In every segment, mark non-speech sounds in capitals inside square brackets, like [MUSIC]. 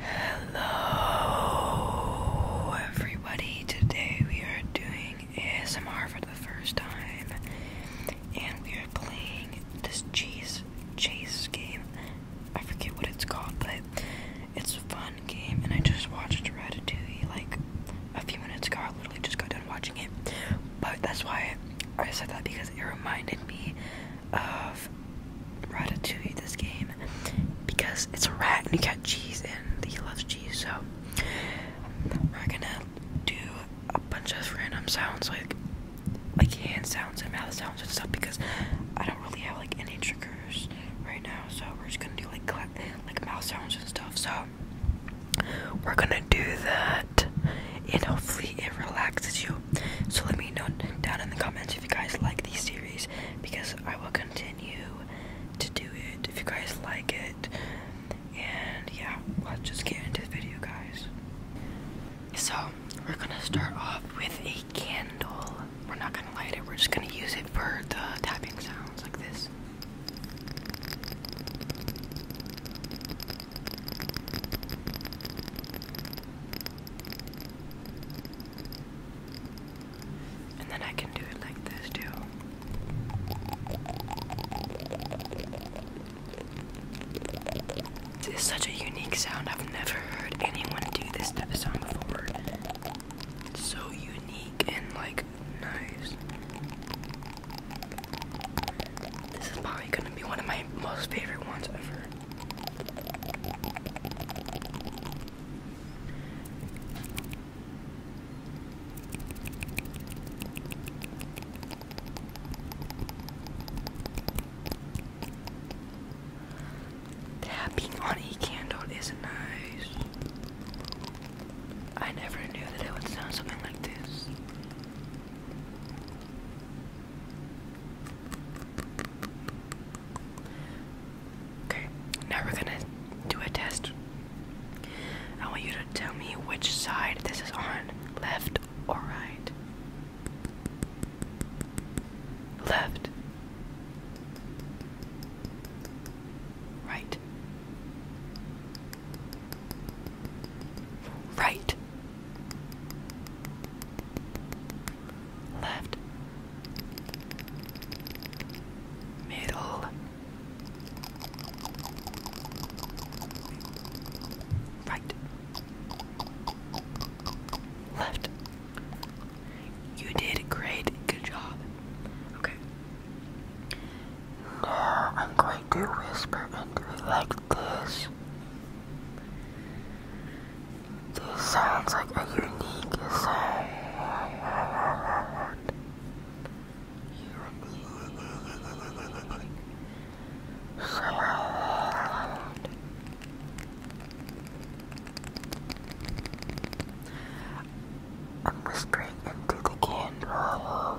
Hello, everybody. Today we are doing ASMR for the first time, and we are playing this cheese chase game. I forget what it's called, but it's a fun game. And I just watched Ratatouille like a few minutes ago. I literally just got done watching it, but that's why I said that because it reminded me of Ratatouille this game because it's a rat and you got cheese and he loves cheese so we're gonna do a bunch of random sounds like like hand sounds and mouth sounds and stuff because I don't really have like any triggers right now so we're just gonna do like clap, like mouth sounds and stuff so we're gonna do that and hopefully it relaxes you. So let me know down in the comments if you guys like these series because I will continue to do it if you guys like it. And yeah, let's just get into the video, guys. So we're gonna start off with a candle. We're not gonna light it, we're just gonna use it for the tapping sounds like this. And then I can do it like this too. This is such a unique sound. I've never heard anyone do this type of sound before. It's so unique and like nice. This is probably gonna be one of my most favorite ones ever. Tapping on a candle is nice. I never knew that it would sound something like this. Okay, now we're gonna do a test. I want you to tell me which side this is on left or right. Left. Right. Right. Left. Middle. Right. Left. You did great. Good job. Okay. Now I'm going to whisper into the legs because this sounds like a unique sound. Sound. I'm whispering into the candle.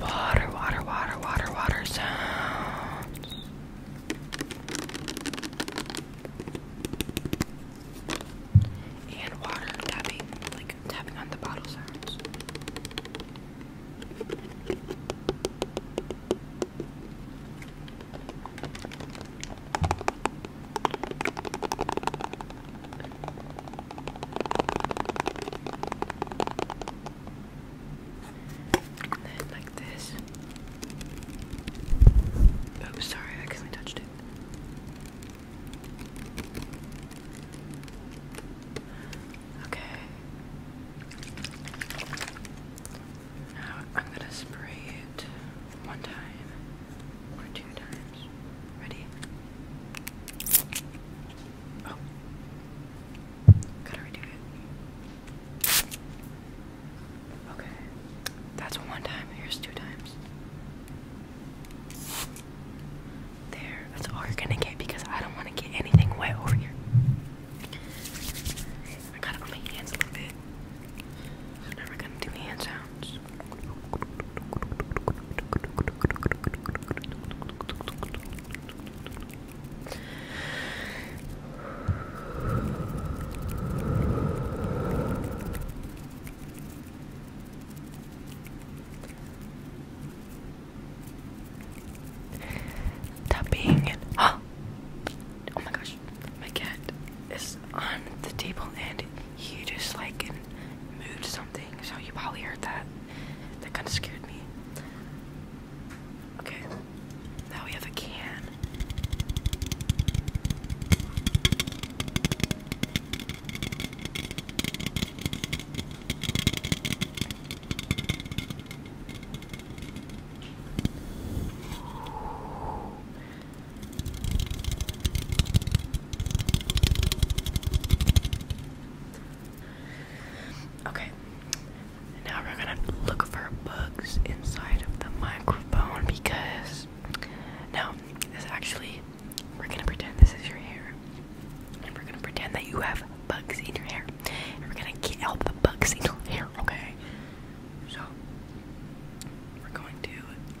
Water, water, water, water, water sounds. And water tapping, like tapping on the bottle sounds. And then like this. Oh, sorry, I accidentally touched it. Okay. Now I'm going to spray it one time or two times. Ready? Oh. Gotta redo it. Okay. That's one time. Here's two times. There. That's all you're gonna get because I don't want to get anything wet over here. I gotta on my hands a little bit. never gonna do hand sounds. Tapping and [GASPS] huh? Oh my gosh, my cat is on the table and he just like moved something, so you probably heard that. That kind of scared me. Okay, now we have a can. Okay, now we're gonna look for bugs inside of the microphone because no, this actually, we're gonna pretend this is your hair, and we're gonna pretend that you have bugs in your hair, and we're gonna get out the bugs in your hair, okay? So, we're going to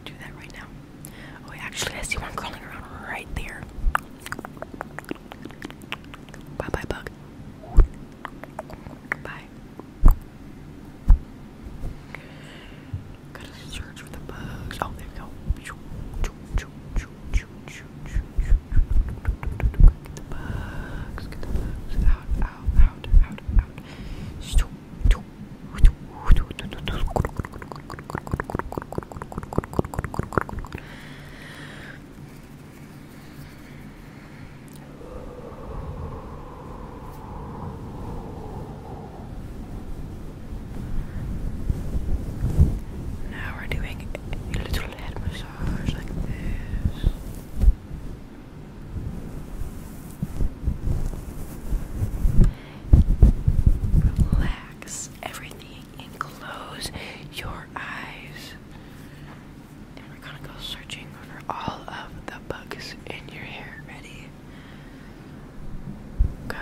do that right now. Oh, actually, I see one crawling around right there. Bye bye, bug. Bye. Gotta search for the bugs. Oh, there we go. Get the bugs. Get the bugs. Out, out, out, out, out. Stoop, now we're doing a little head massage like this. Relax everything and close your eyes. And we're gonna go searching for all of the bugs in your hair. Ready? Go.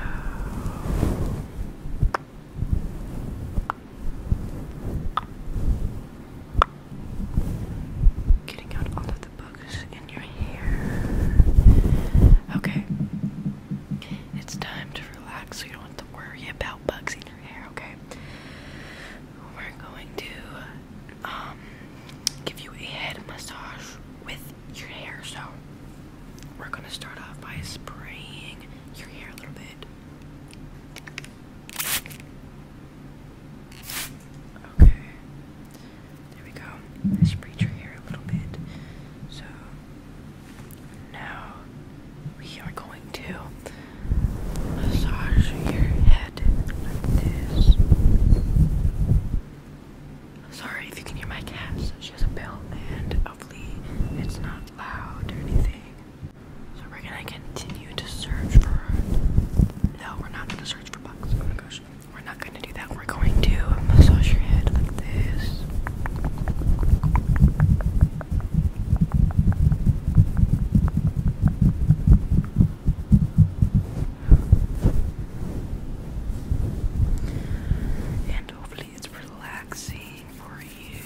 Getting out all of the bugs focus your hair. Okay. It's time to relax so you don't have to worry about bugs in your hair, okay? We're going to um, give you a head massage with your hair. So we're gonna start off by spraying your hair a little bit. Okay. There we go. Let's breach her hair a little bit. So now we are going to massage your head like this. Sorry if you can hear my cat. She has a bell, and hopefully it's not loud or anything. So we're gonna continue to search for. No, we're not gonna search for bugs. Oh my gosh. We're not going to do that. We're going to massage your head like this. And hopefully it's relaxing for you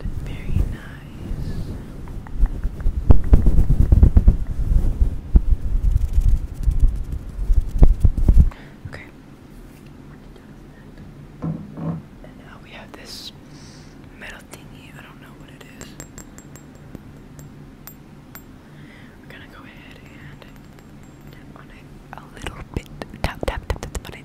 and very nice. Okay. And now we have this metal thingy. I don't know what it is. We're gonna go ahead and tap on it a little bit. Tap, tap, tap, on it.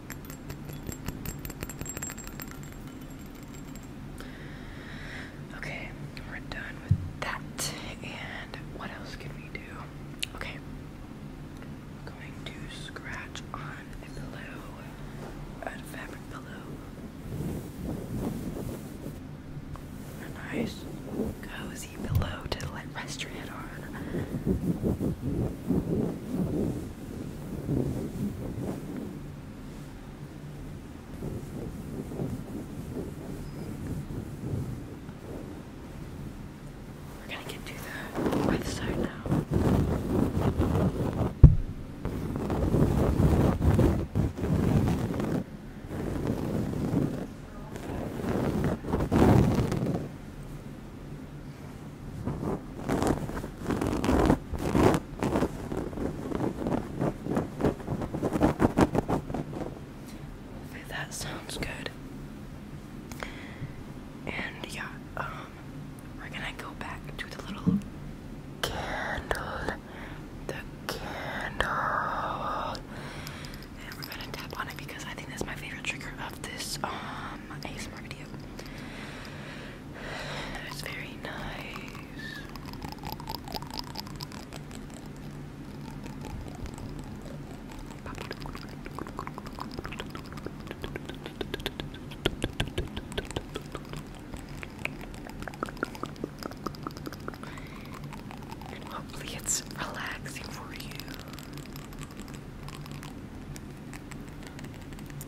Okay, we're done with that. And what else can we do? Okay, I'm going to scratch on a pillow, a fabric pillow. A nice, cozy pillow to let rest your head on. We're gonna get to the other side now that sounds good. And yeah, um, we're gonna go back to the little candle, the candle, and we're gonna tap on it because I think that's my favorite trigger of this um ASMR video. That's very nice. hopefully, it's relaxing for you.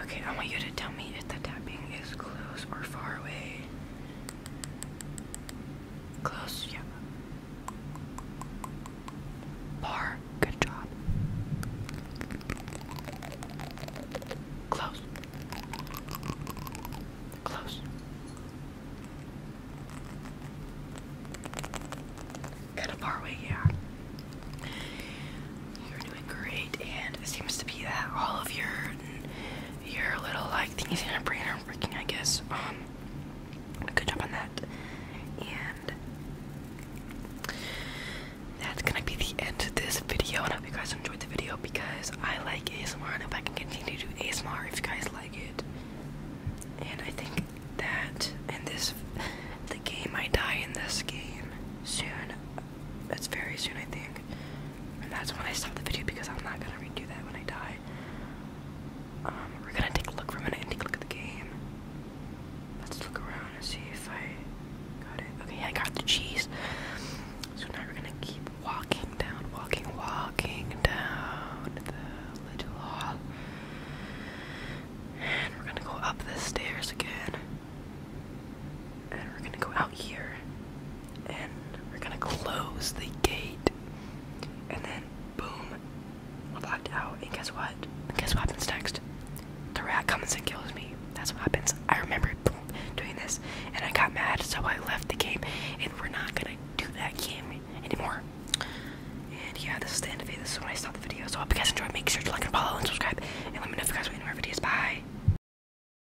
Okay, I want you to tell me if the tapping is close or far away. Close, yeah. Bar, good job. Close. Close. Kind of far yeah. You're doing great, and it seems to be that all of your your little like thingies in your brain are working, I guess. Um, good job on that. And that's gonna be the end of this video. And I hope you guys enjoyed the video because I like ASMR and if I can continue to do ASMR if you guys like it. And I think that in this the game I die in this game soon that's very soon, I think. And that's when I stop the video because I'm not gonna redo that when I die. Um, we're gonna take a look for a minute and take a look at the game. Let's look around and see if I got it. Okay, I got the cheese. So now we're gonna keep walking down, walking, walking down the little hall. And we're gonna go up the stairs again. And we're gonna go out here and we're gonna close the gate, and then boom, we're locked out. And guess what? guess what happens next? The rat comes and kills me. That's what happens. I remember doing this, and I got mad, so I left the game. And we're not gonna do that game anymore. And yeah, this is the end of the video. This is when I stop the video. So I hope you guys enjoyed. Make sure to like and follow and subscribe, and let me know if you guys want any more videos. Bye.